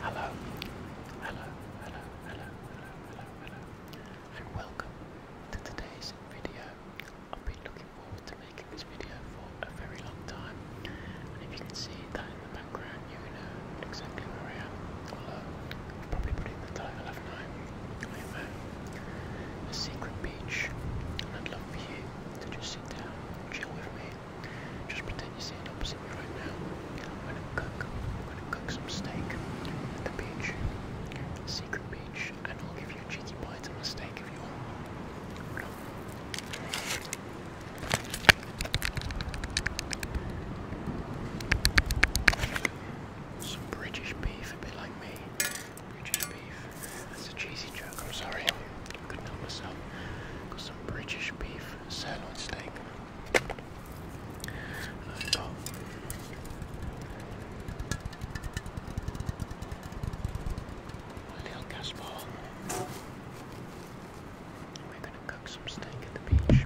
Hello. Hello. Hello. Hello. Hello. Hello. And welcome to today's video. I've been looking forward to making this video for a very long time. And if you can see that in the background, you know exactly where I am. Uh, I'll probably put in the title, haven't I? I am at a secret beach. And I'd love for you to just sit down, chill with me, just pretend you're sitting opposite me right now. I'm gonna cook. I'm gonna cook some steak at the beach, secret beach, and I'll give you a cheesy bite of a steak if you want. Some British beef, a bit like me. British beef. That's a cheesy joke. I'm sorry. couldn't help myself. Got some British beef sirloin steak. And I've little gas ball. We're going to cook some steak at the beach.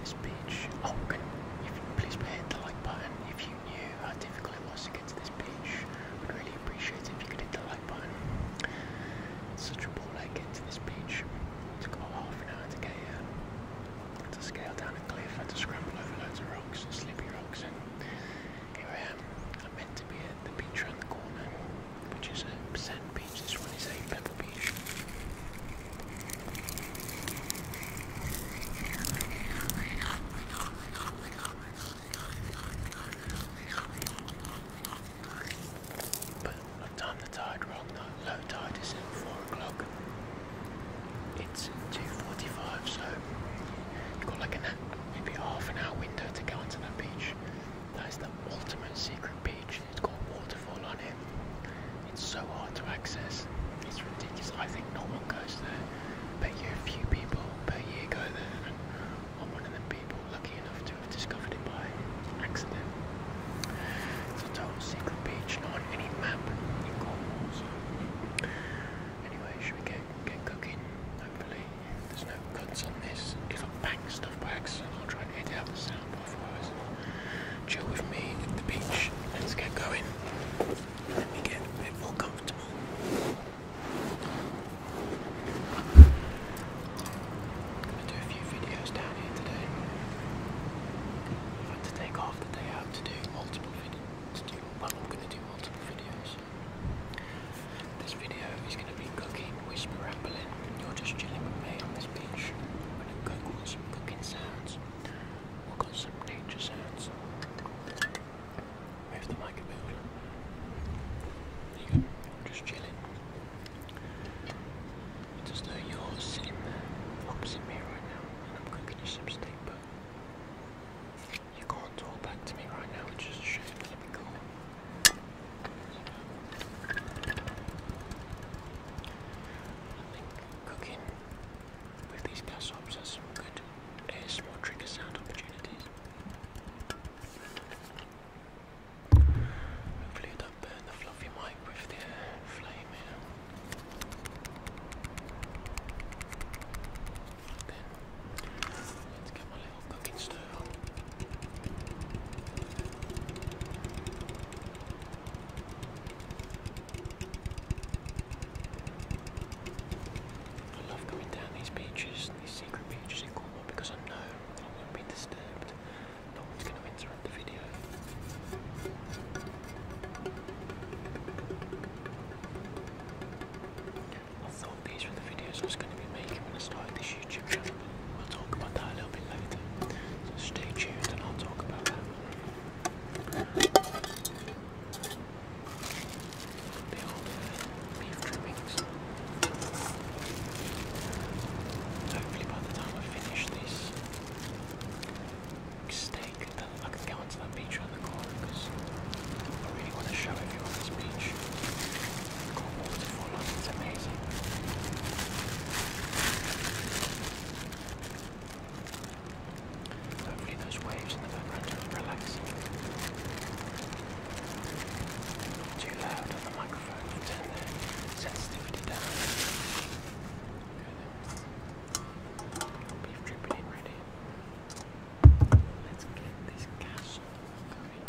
This beach. Oh, can, you please hit the like button if you knew how difficult it was to get to this beach. would really really appreciate if you could hit the like button. such a ball I get to this beach. took about half an hour to get here. had to scale down a cliff, had to scramble over loads of rocks, slippy rocks, and here I am. I'm meant to be at the beach around the corner, which is a sand beach. This one is a pebble beach. But I've the tide wrong Low tide is at 4 o'clock. It's 2.45 so you've got like an, maybe half an hour window to go onto that beach. That is the ultimate secret beach. It's got a waterfall on it. It's so hard to access. It's ridiculous. I think no one goes there. but you a few people per year go there I'm one of the people lucky enough to have discovered it by accident. It's a total secret beach, not on any map anyway, should we get get cooking? Hopefully, there's no cuts on this. If I bang stuff by accident, I'll try and edit out the sound afterwards. Chill with me at the beach. Let's get going. Let me get a bit more comfortable. I do a few videos down here today. I had to take off the day out to do multiple videos. This video is going to be cooking, whisper rambling. You're just chilling with me on this beach. I'm going to cook some cooking sounds. We've got some nature sounds. Move the mic a bit. Just chilling. It's as you're sitting there opposite me right now, and I'm cooking you some steak, but you can't talk back to me right now, which is a shame. I think cooking with these gas ops has some good ASMR trigger sound opportunities. Hopefully I don't burn the fluffy mic with the flame here. let's get my little cooking stove I love coming down these beaches, these secret beaches because I know I won't be disturbed. No one's going to interrupt the video. I thought these were the videos I was going to be making when I started this YouTube channel. We'll talk about that a little bit later. So stay tuned and I'll talk about that the old uh, beef trimmings. Hopefully by the time I finish this steak, then I can go onto that beach around the corner because I really want to show everyone this beach. I've got waterfall on it's amazing. Hopefully those waves in the background are relaxing. Too loud on the microphone. turn the sensitivity down. Beef dripping ready. Let's get this castle going.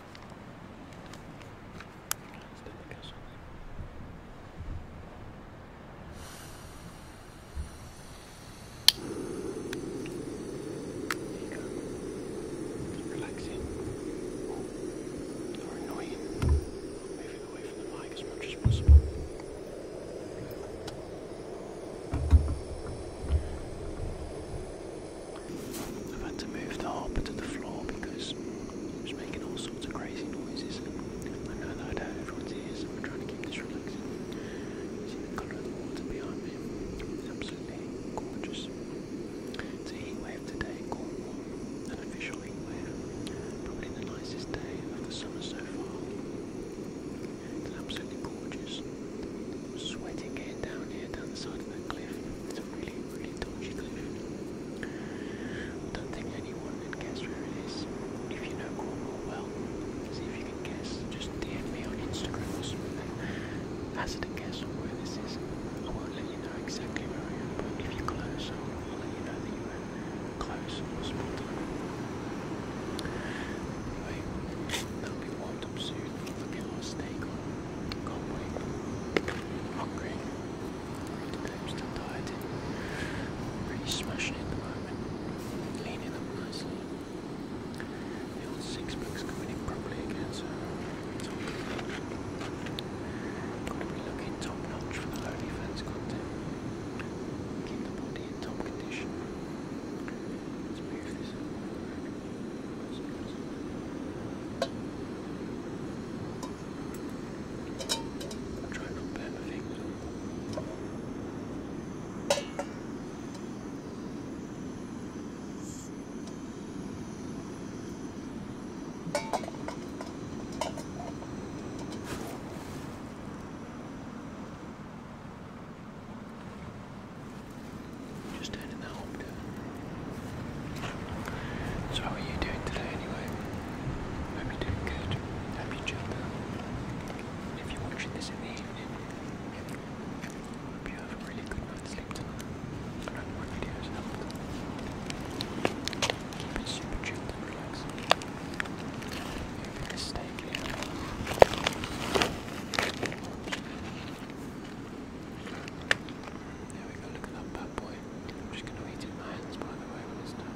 Let's do the castle there you go. Just relaxing or Moving away from the mic as much as possible. I've had to move the harp to the floor because it's making all sorts of crazy noises. and I know that I'd hurt everyone's ears, so I'm trying to keep this relaxing. see the colour of the water behind me? gorgeous It's a heat wave today, Cornwall. warm. An official heat Probably the nicest day of the summer so far. absolutely gorgeous. sweating getting down here, down the side of that cliff. It's a really, really dodgy cliff. don't think anyone would guess where it is. If you know Cornwall well, see if you guess, just DM me on Instagram or something, hazard a guess on where this is. I won't let you know exactly where but if you're close, I'll let you know that you were close or spot on. will be warmed up soon. I'll get our steak on. Hungry. still dieting. Pretty smashing it at the moment. Leaning up nicely. The old six bucks coming in properly again, so it's all good. Gotta be looking top notch for the OnlyFans content. Keep the body in top condition. Let's Try not to just down in the home So how are you doing today anyway? Hope doing good. Hope you jump If you're watching this in the evening, Hope you have a really good night's sleep tonight. I hope videos helped. Keep super chilled and relaxing. stay clear. There we go, look at that bad boy. I'm just gonna eat it in my hands by the way when it's done.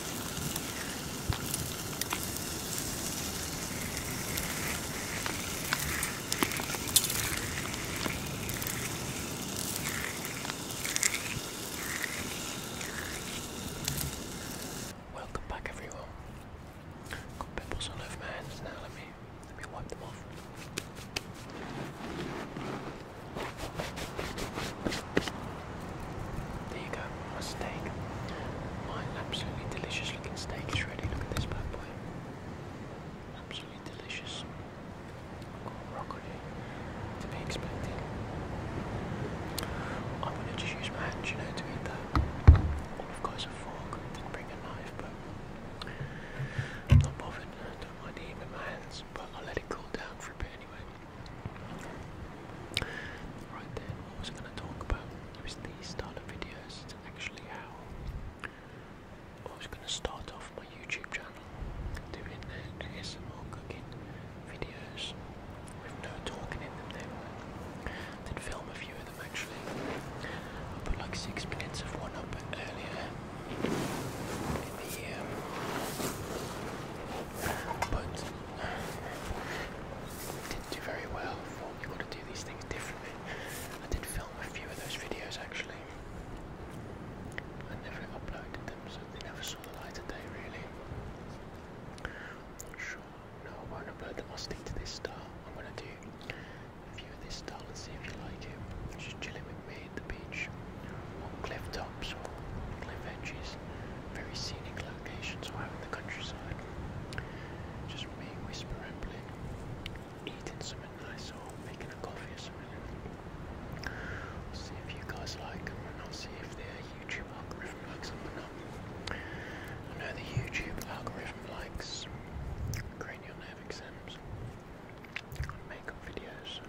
Welcome back everyone. Got pimples all over my hands now, let me let me wipe them off. There you go, my steak. My absolutely delicious looking steak is ready. Look at this bad boy. Absolutely delicious. I've got broccoli to be expected. I'm gonna just use my hands, you know, to eat that. I've got is a fork. Didn't bring a knife, but I'm not bothered. I don't mind eating with my hands, but I'll let it cool down for a bit anyway. Right then, what was going to talk about? It was the start of videos, it's actually how I was going to start off my YouTube channel doing the ASMR cooking videos with no talking in them then. Then film a few of them actually. I put like six minutes of one up earlier in the um, but uh, didn't do very well. you got to do these things differently. I did film a few of those videos actually. I never uploaded them, so they never saw the light of day really. sure. No, I won't upload them. I'll stick to this style. I'm gonna do a few of this style and see if you like it. Just chilling with me the beach on cliff tops or cliff edges, very scenic locations or out in the countryside. Just me, whispering, rambling, eating something nice or making a coffee or something. see if you guys like and I'll see if the YouTube algorithm likes or not. I know the YouTube algorithm likes cranial nerve exams makeup videos.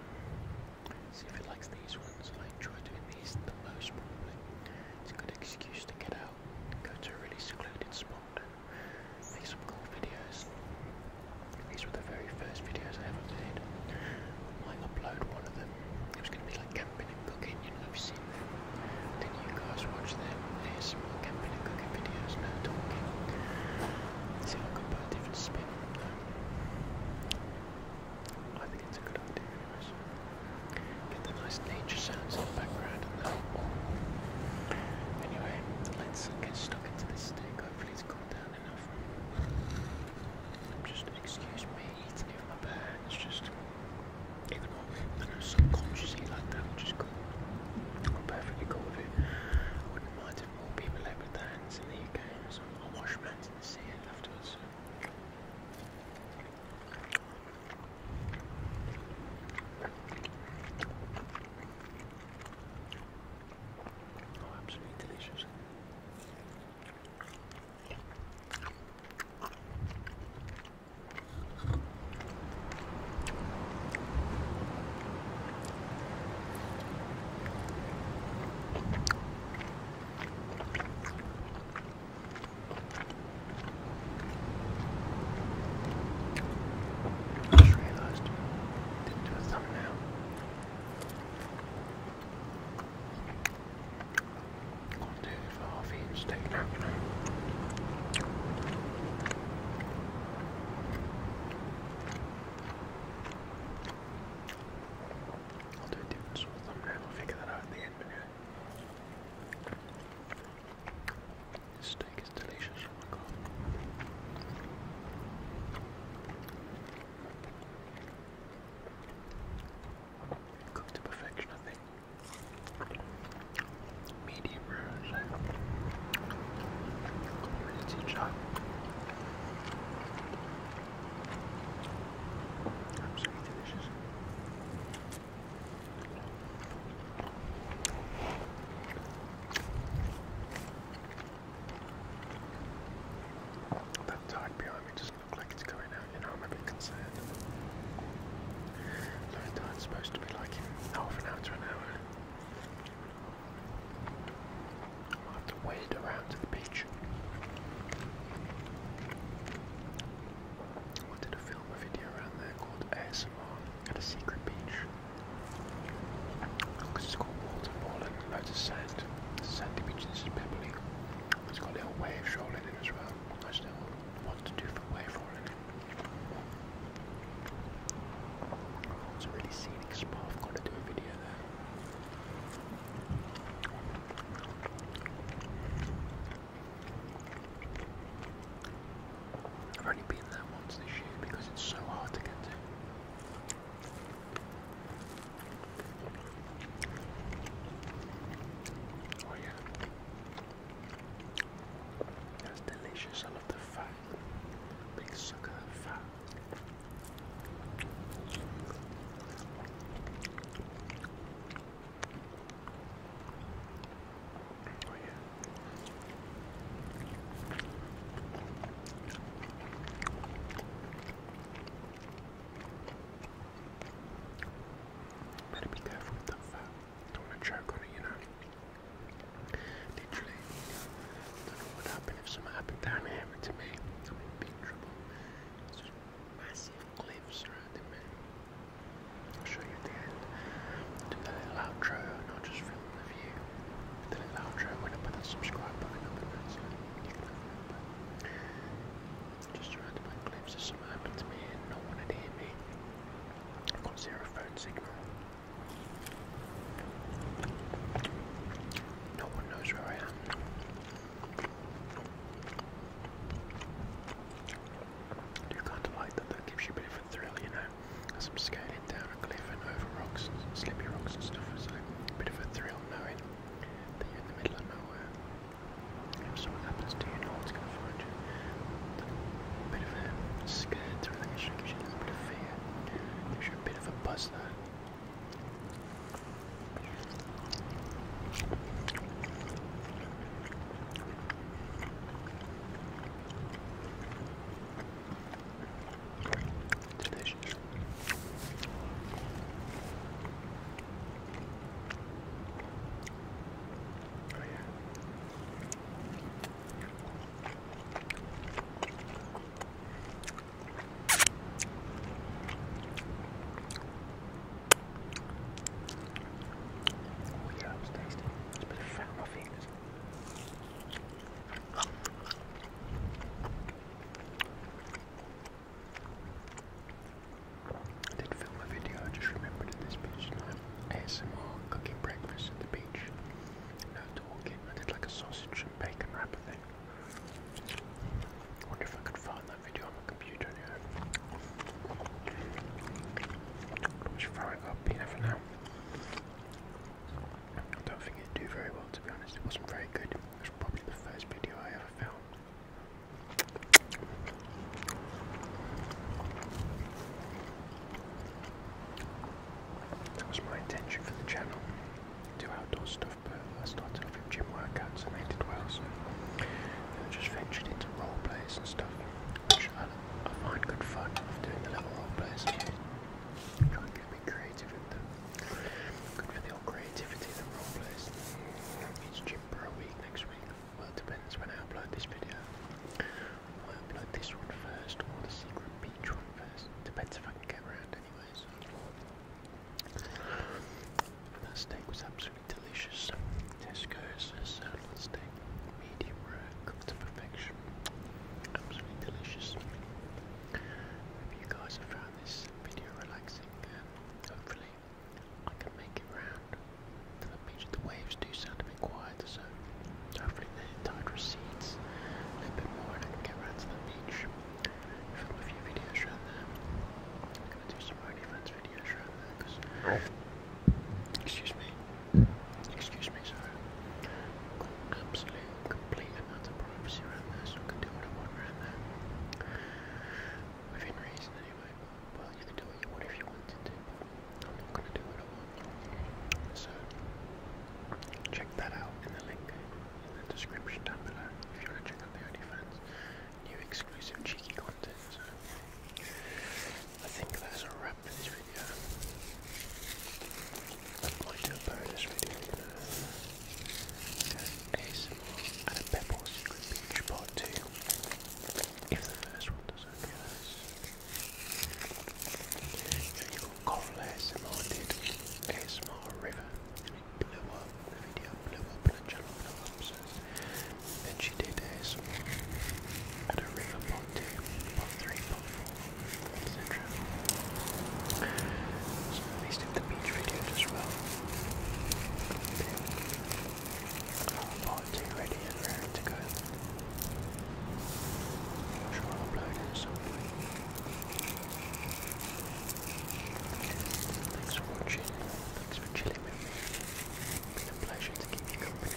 See if it likes these ones. I enjoy doing these the most probably. It's a good excuse to get out, go to a really secluded spot, make some cool videos. These were the very first videos I ever made. I might upload one of them. It was going to be like camping and cooking, you know, i seen Then you guys watch them. There's more camping and cooking videos, no talking. See if I can put a different spin on them. I think it's a good idea, anyways. Get the nice nature sounds in the background and that. Anyway, let's get stuck into this steak. Hopefully, it's cooled down enough. Just excuse me eating it with my bare hands, just ignore me. I know subconsciously like that, which is I'm perfectly cool with it. I wouldn't mind if more people left their hands in the UK. I'll some washmans in the sand afterwards. Oh, absolutely delicious. Just realized I didn't do a thumbnail. I'll do it for half each steak now, can I? I'll do a dude's with we'll figure that out at the end, but yeah. steak is delicious, oh my god. Cooked to perfection, I think. Medium rare, so. Really too that tide behind me doesn't like it's going out, you know, I'm a bit concerned. Low tide's supposed to be like half an hour to an hour. I'll have to wade around to the beach. I wanted to film a video around there called ASMR at a secret beach. Because it's got waterfall and loads of sand. Sandy beach, this is pebbly. It's got a little wave rolling in as well. Nice little one to do for wave rolling it's a really scenic spot. I've got to do a video there. I've only been there once this year because it's so hard to get to. Oh yeah. That's delicious. I love the fat Big sugar oh, Better be careful with that Don't want on it, you Literally, don't know what would if something happened down here to me. I'm in big trouble. massive cliffs surrounding me. I'll show you at the end. do that little outro and just film the view. With the little outro when I put that subscribe button up and that's it. You can have it, but just surrounded to me no one would hear me. I've got zero phone signal. No one knows where I am. do kind of like that, that gives you a bit of a thrill, you know, as I'm scaling down a cliff and over rocks and rocks and stuff, it's a bit of a thrill knowing that you're in the middle of nowhere. If something happens to you, no one's going to find you. A bit of a scared thrill, you a here. There's a bit of a buzz there. Oh, yeah. Yeah, it tasty. It's a bit of fat on my fingers. I did film a video, I just remembered at this beach tonight. ASMR cooking breakfast at the beach. No talking. I did like a sausage and bacon wrapper thing. wonder if I could find that video on my computer anyway. I'll just throw it up, you never I don't think it do very well to be honest. It wasn't very good. It probably the first video I ever filmed. That was my intention for the channel. to Do outdoor stuff, but I started off with gym workouts and they did well, so I just ventured into role plays and stuff, which I, find good fun of doing the little role plays. Try and get me creative with them. Good for the old creativity of the role plays. It's gym for week next week. Well, depends when I upload this video. I will upload this one first or the secret beach one first. Depends if I can get around anyways. That steak was absolutely delicious. Tesco's sirloin steak, medium rare, cooked to perfection. Absolutely delicious. Hope you guys have found this video relaxing hopefully I can make it round the beach. The waves do sound been so hopefully the tide recedes a little bit more and I can get around to the beach. Film a few videos around there. do some OnlyFans videos around there because. Oh. Excuse me. Excuse me, sorry. absolute, complete amount of privacy around there, so I can what I want around there. Within reason, anyway. Well, you can do what you want to, but I'm gonna do it all. So check that out in the link in the description down below if you wanna check out the OnlyFans. New exclusive cheeky content. I think that's a wrap for this video. I might do a bonus video you know, ASMR and a Pebble Beach part 2 if the first one doesn't get us. So you got Coral ASMR did ASMR River and it the video blew up and the channel then she did a river part etc. So we did the beach videos as well. 2 ready to go. Thanks for watching. Thanks for chilling with me. It's been a pleasure to keep you company.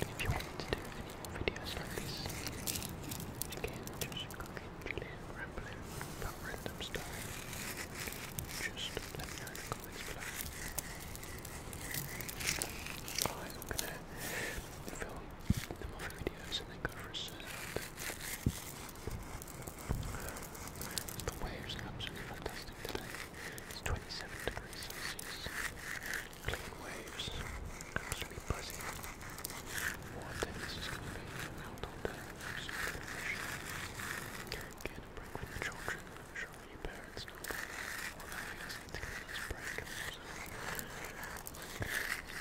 And if you want to do any videos like this, again, just click chilling, rambling let me know I'm gonna film the Muffin videos and then go for a surf. The waves are fantastic today. It's 27 degrees Celsius. Clean waves. Absolutely buzzing. What is going to no time for supervision. Get a break with your children. Surely your parents know that. Although he doesn't think that he's break. Enjoy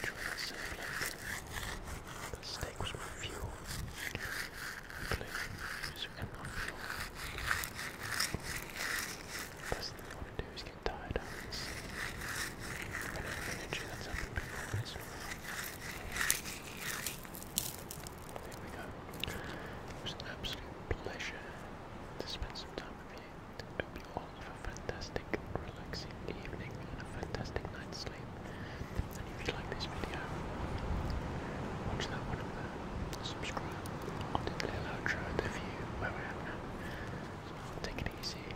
the semblance. The steak was my fuel. Clear, user, and not fuel. Best thing you want to do is get tired out of this. Whenever energy that's up in people is. There we go. It was an absolute pleasure to spend some time with you. Hope you all have a fantastic, relaxing evening and a fantastic night's sleep. And if you like this video, watch that one over there, subscribe. I'll a little outro of the view where I am now. take it easy.